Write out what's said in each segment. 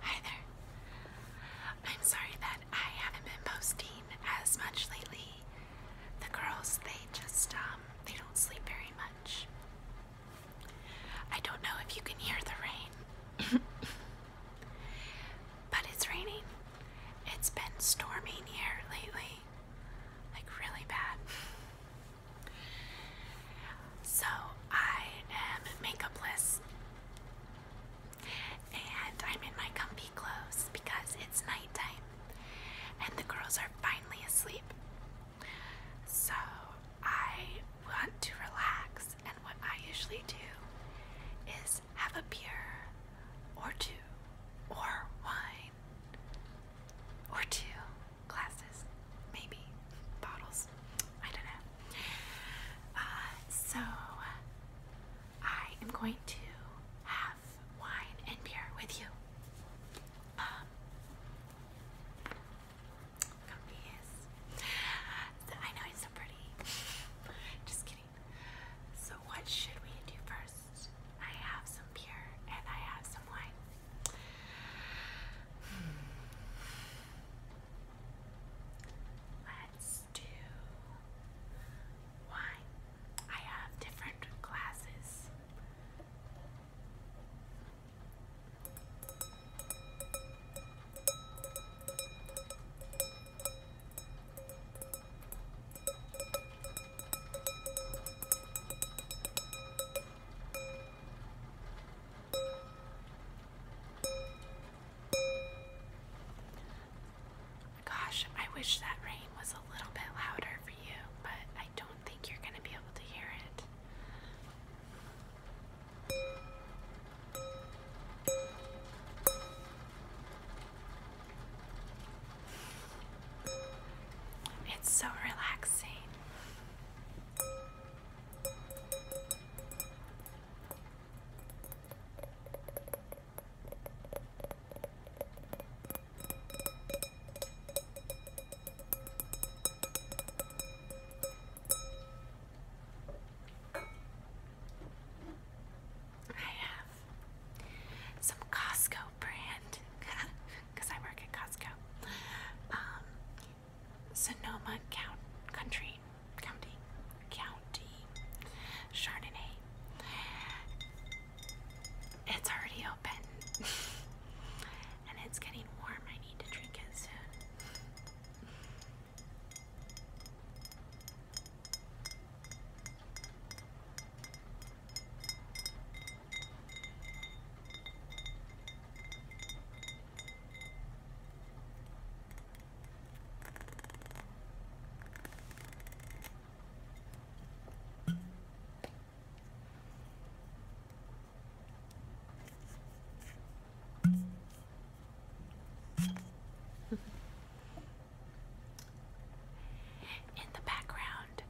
Hi there. I'm sorry that I haven't been posting as much lately. The girls, they just, um, they don't sleep very much. I don't know if you can hear the rain, but it's raining. It's been storming here lately, like really bad. So I am makeupless and I'm in my comfy clothes because it's nighttime and the girls are finally asleep. So I want to relax and what I usually do is have a beer or two or wine or two glasses, maybe bottles. I don't know. Uh, so I am going to have wine and beer with you. Um, I know it's so pretty. Just kidding. So what should we do first? I have some beer and I have some wine. Let's do wine. I have different glasses. Gosh, I wish that rain was a little bit louder for you, but I don't think you're going to be able to hear it. It's so relaxing. I have some Costco brand because I work at Costco. Um, Sonoma Count County County Chardonnay. It's already open, and it's getting warm. I need to drink it soon. In the background,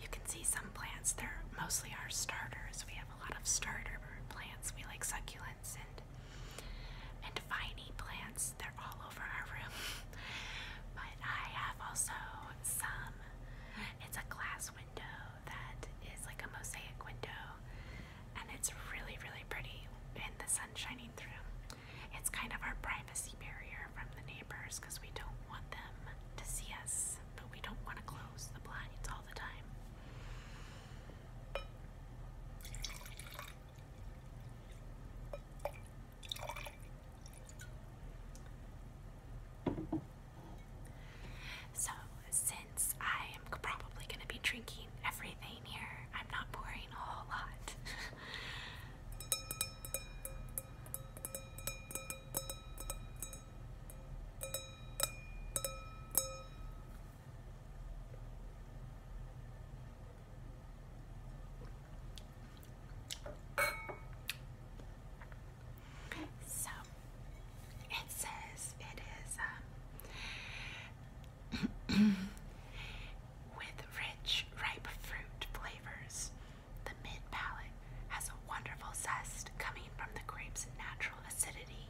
you can see some plants, they're mostly our starters. We have a lot of starter plants. We like succulents and and viney plants. They're all over our room. but I have also some. It's a glass window that is like a mosaic window. And it's really, really pretty And the sun shining through. It's kind of our privacy barrier from the neighbors because we don't want them to see us, but we don't want to close the blinds all the time. So, since I am probably going to be drinking everything here, I'm not pouring a whole lot. So it says it is um, with rich ripe fruit flavors the mid palate has a wonderful zest coming from the grape's natural acidity,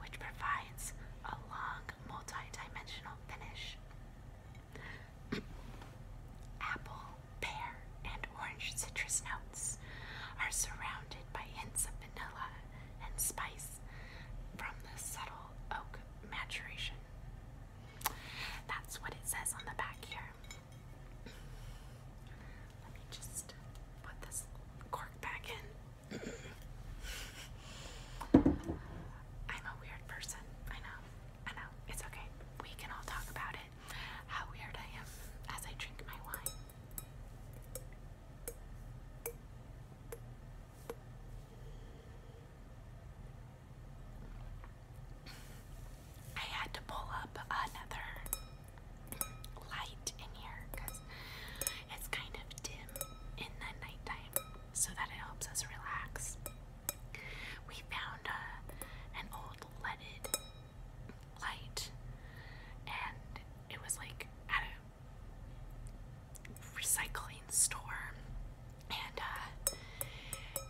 which provides a long, multi-dimensional finish. Apple, pear, and orange citrus notes are surrounded by hints of vanilla and spice from the subtle oak maturation. That's what it says on the back here. Let me just put this cork back in. I'm a weird person. I know. I know. It's okay. We can all talk about it. How weird I am as I drink my wine. I had to pull up another light in here because it's kind of dim in the nighttime so that it helps us relax. We found uh, an old leaded light and it was like at a recycling store and uh,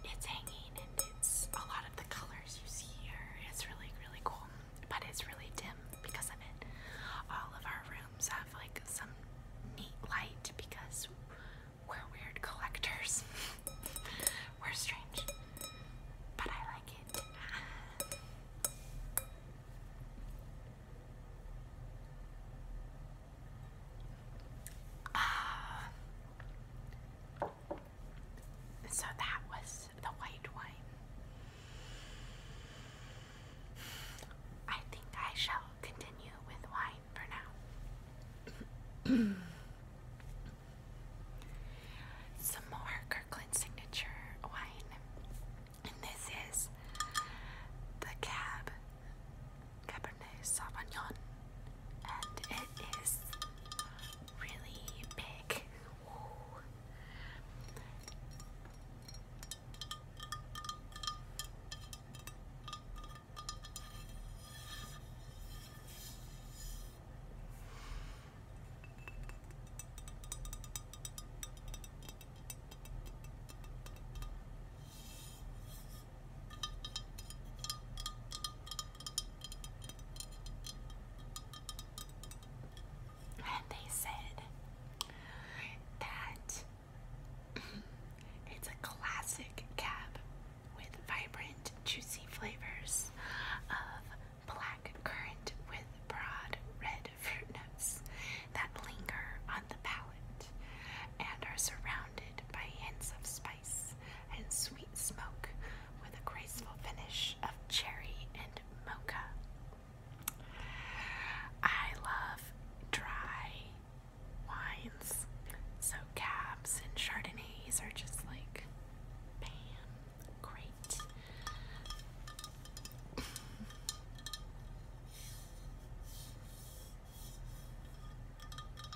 it's hanging and it's a lot of the color you see here. It's really, really cool, but it's really dim because of it. All of our rooms have like some neat light because we're weird collectors. we're strange, but I like it. Uh, so that was the white wine. I think I shall continue with wine for now. Some more Kirkland Signature wine. And this is the Cab Cabernet Sauvignon and it is really big. And they said that it's a classic cab with vibrant, juicy flavors of black currant with broad red fruit notes that linger on the palate and are surrounded by hints of spice and sweet smoke with a graceful finish of cherry and mocha. I love dry wines, so cabs and chardonnays are just like bam, great.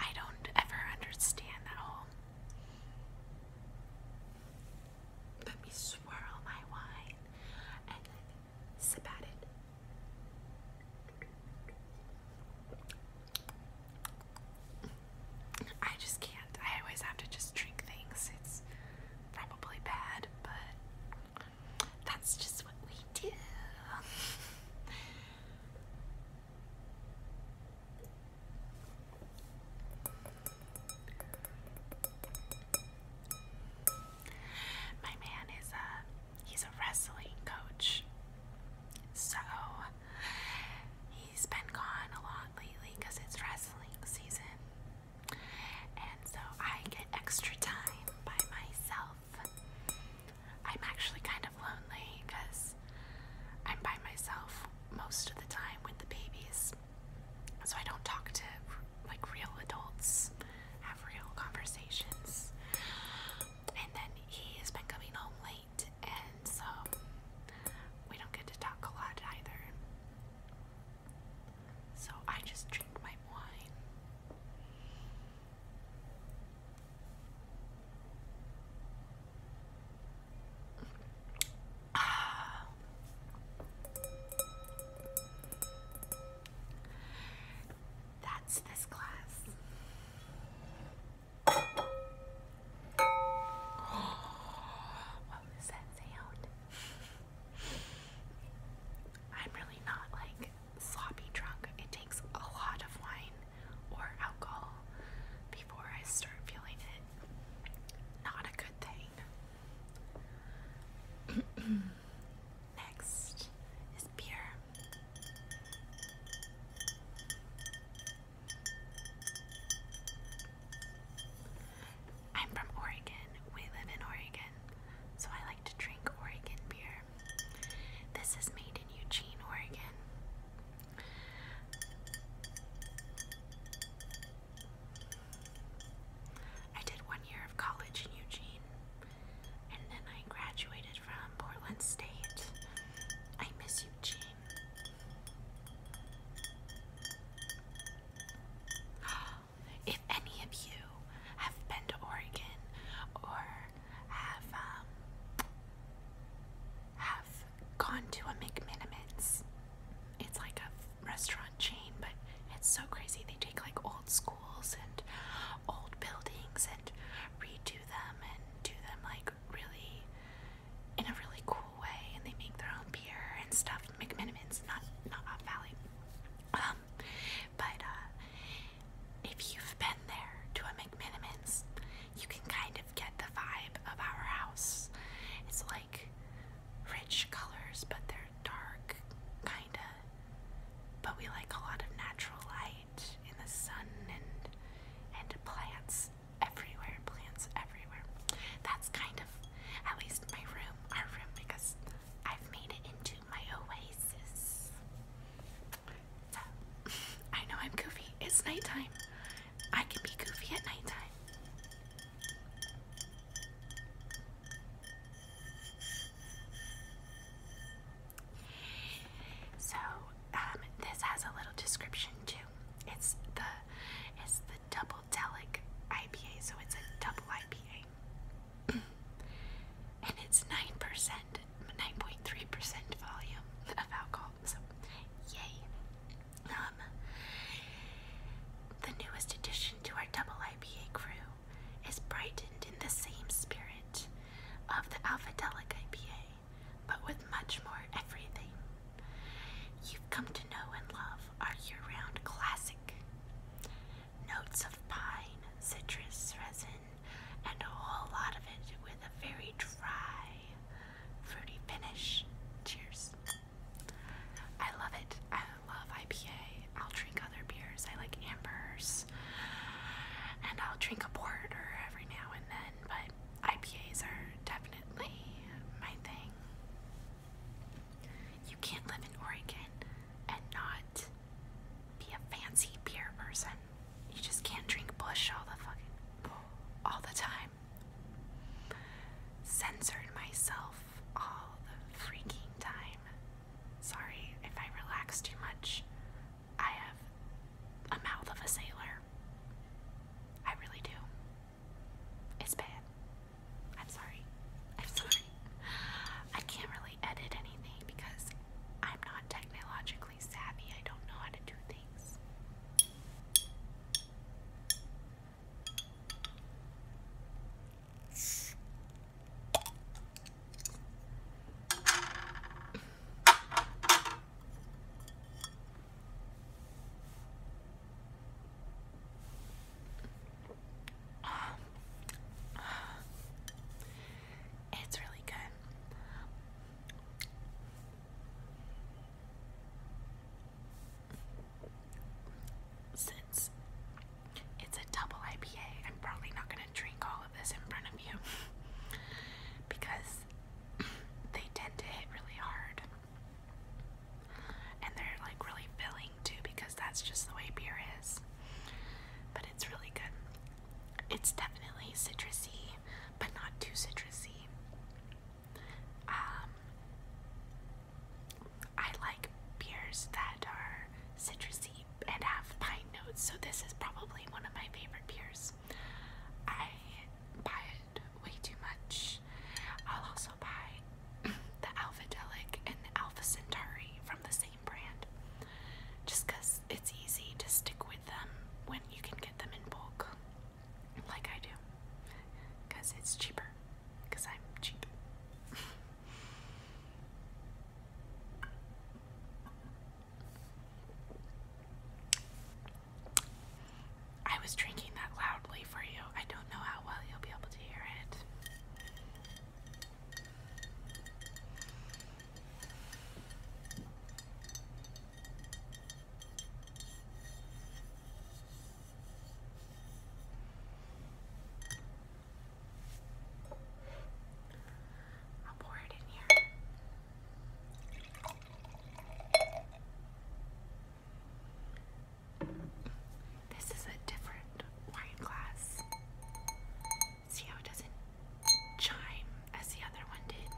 I don't ever understand that whole. Let me swirl my wine and sip at it. I just can't. I always have to just drink things. It's probably bad, but that's just what we do. My man is a he's a wrestling coach. So He's been gone a lot lately because it's wrestling season. And so I get extra time by myself. I'm actually kind of lonely because I'm by myself most of the time with the babies. So I don't talk to like real adults, have real conversations. And then he has been coming home late and so we don't get to talk a lot either. So I just drink my wine. Ah. That's this class what was that sound? I'm really not like sloppy drunk. It takes a lot of wine or alcohol before I start feeling it. Not a good thing. Next is beer. I'm from Oregon. We live in Oregon, so I like to drink Oregon beer. This is made in Eugene, Oregon. I did one year of college in Eugene, and then I graduated from Portland State. I miss Eugene. If any of you have been to Oregon or have um, have gone to a McMinimins, it's like a restaurant chain, but it's so crazy. They take like old schools and old buildings and redo them and do them like like really in a really cool way, and they make their own beer and stuff. McMenamins, not not Hop Valley. Um, but uh, if you've been there to a McMenamins, you can kind of get the vibe of our house. It's like rich colors, but they're dark, kinda. But we like a lot of natural light in the sun and and plants everywhere, plants everywhere. That's kind of at least my room, our room, because I've made it into my oasis. So, I know I'm goofy. It's nighttime. I can be goofy at night time. So um, this has a little description too. It's the it's the double delic IPA, so it's a double IPA, and it's nine percent, nine point three percent volume of alcohol. So, yay! Um, the newest addition to our double IPA crew is brightened in the same spirit of the alpha delic IPA but with much more everything you've come to know and love our year round classic. Notes of pine, citrus, resin, and a whole lot of it with a very dry, fruity finish. Cheers. I love it. I love IPA. I'll drink other beers. I like ambers. And I'll drink a porter every now and then but IPAs are definitely my thing. You can't live in Oregon and not be a fancy beer person. You just can't drink Bush all the fucking all the time. Censored myself all the freaking time. Sorry if I relaxed too much. I have a mouth of a sailor. I really do. It's bad. I'm sorry. I'm sorry. I can't really edit anything because I'm not technologically savvy. I don't know how to do things. It's really good. Since it's a double IPA, I'm probably not going to drink all of this in front of you because they tend to hit really hard. And they're like really filling too because that's just the way beer is. But it's really good. It's definitely citrusy, but not too citrusy. Um, I like beers that are citrusy and have pine notes, so this is probably one of my favorite beers. I buy it way too much. I'll also buy the Alpha Delic and the Alpha Centauri from the same brand just because it's easy to stick with them when you can get them in bulk, like I do, because it's cheaper, because I'm cheap. I was drinking that loudly for you. I don't know how well you'll be able to hear it. I'll pour it in here. This is a different wine glass. See how it doesn't chime as the other one did?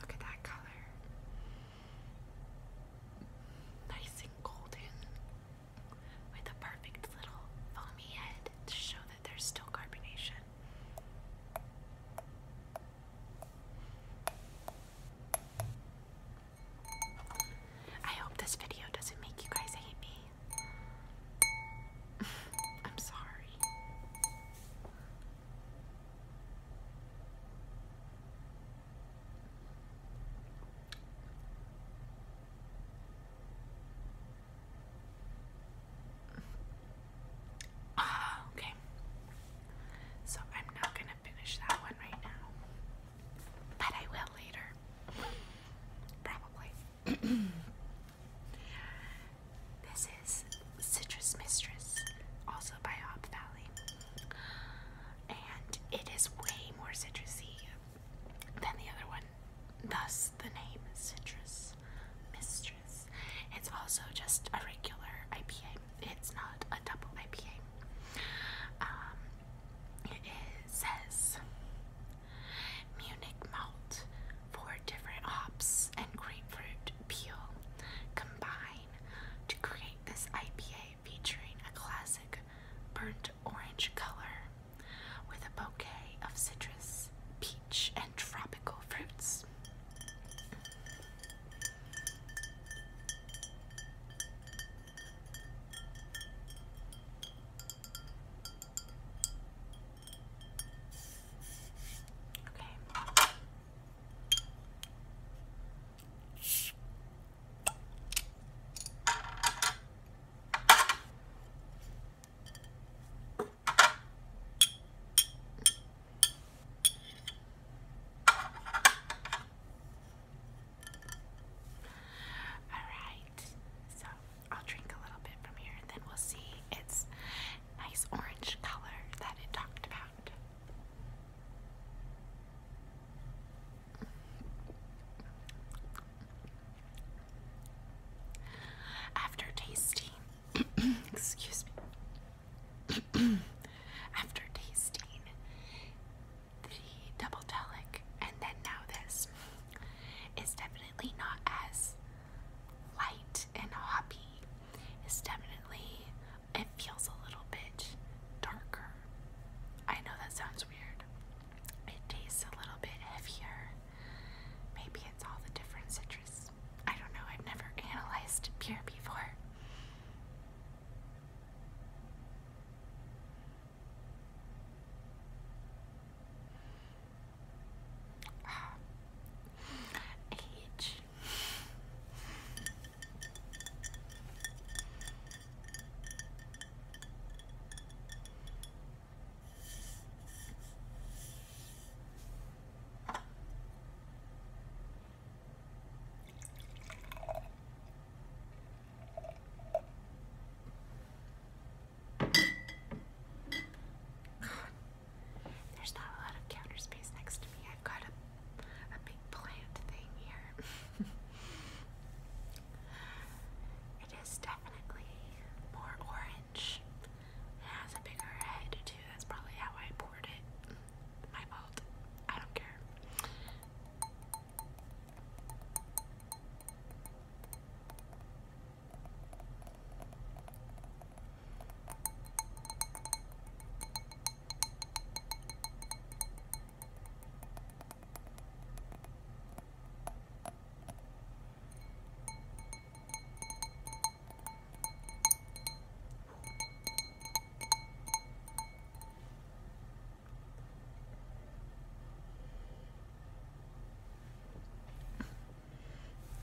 Look at that color. Nice and golden with a perfect little foamy head to show that there's still carbonation. I hope this video doesn't make you guys hate me. I'm sorry. Ah, okay. So I'm not going to finish that one right now. But I will later. Probably. this is Citrus Mistress, also by Op Valley. And it is way more citrusy than the other one, thus the name Citrus Mistress. It's also just a regular IPA, it's not a double IPA. Um, it says Munich malt, four different hops, and grapefruit peel combine to create this IPA featuring a classic burnt orange color with a bouquet of citrus, peach, and tropical fruits. Okay. Alright, so I'll drink a little bit from here and then we'll see its nice orange color that it talked about. After tasting, excuse me, after tasting the double telic and then now this is definitely not as light and hoppy. It's definitely, it feels a little bit darker. I know that sounds weird. It tastes a little bit heavier. Maybe it's all the different citrus. I don't know, I've never analyzed beer before. Age. Ah. There's not a lot of counter space next to me. I've got a, a big plant thing here. it is definitely more orange. It has a bigger head too. That's probably how I poured it. My fault. I don't care.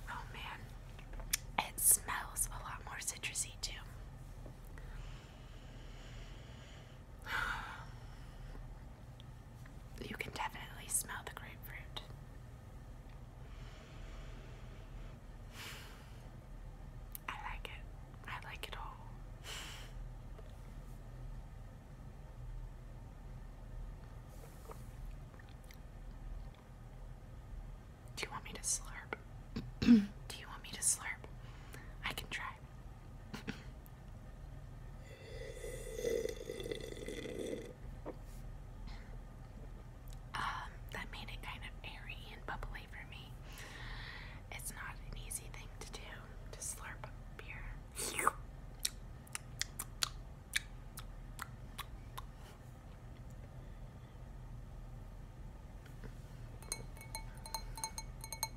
Oh man, it smells a lot more citrusy too. You can definitely smell the grapefruit. I like it. I like it all. Do you want me to slurp? Do you want me to slurp? I can try. Um, that made it kind of airy and bubbly for me. It's not an easy thing to do to slurp beer.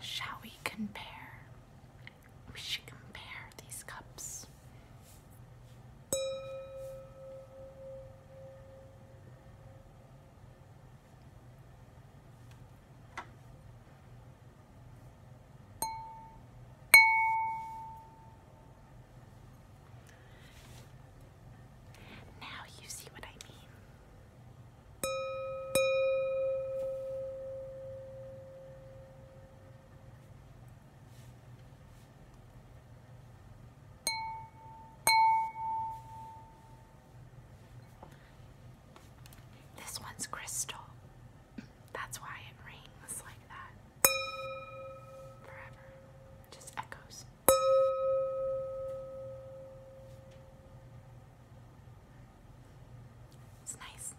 Shall we compare? We should compare these cups. Now you see what I mean. This one's crystal. That's why it rings like that. Forever. Just echoes. It's nice.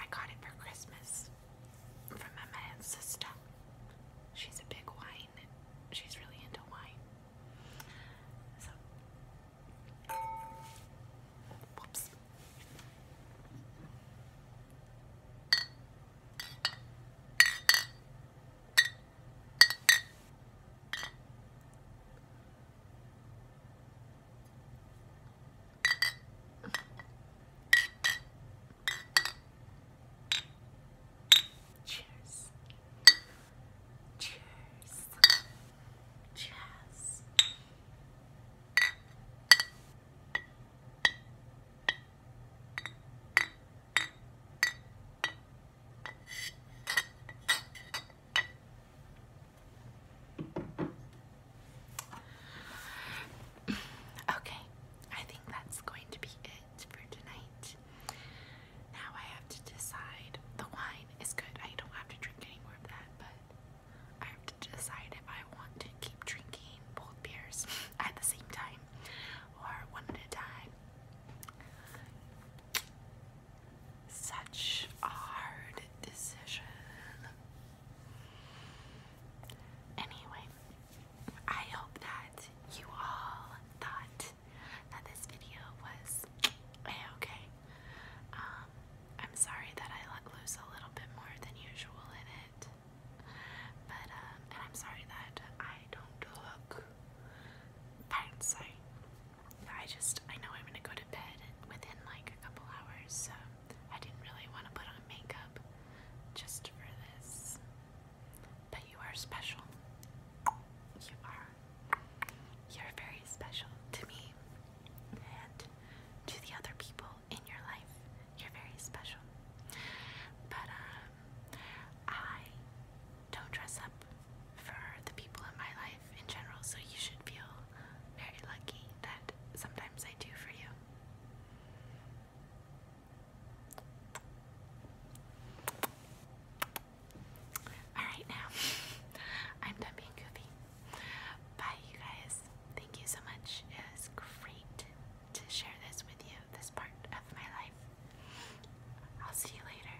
I got it for Christmas from my man's sister. She's a big wine. She's really into wine. whoops. Cheers. Cheers. Cheers. Okay, I think that's going to be it for tonight. Now I have to decide. The wine is good. I don't have to drink any more of that, but I have to decide if I want to keep drinking both beers at the same time or one at a time. Such a hard decision. Anyway, I hope that you all thought that this video was okay. Um, I'm sorry that I let loose a little bit more than usual in it, but um, and I'm sorry that I don't look fancy I just, I know I'm gonna go to bed within like a couple hours, so I didn't really want to put on makeup just for this. But you are special. You are. You're very special to me and to the other people in your life. You're very special. But, um, I don't dress up for the people in my life in general, so you should feel very lucky that sometimes I do for you. Alright, now I'm done being goofy. Bye, you guys. Thank you so much. It was great to share this with you, this part of my life. I'll see you later.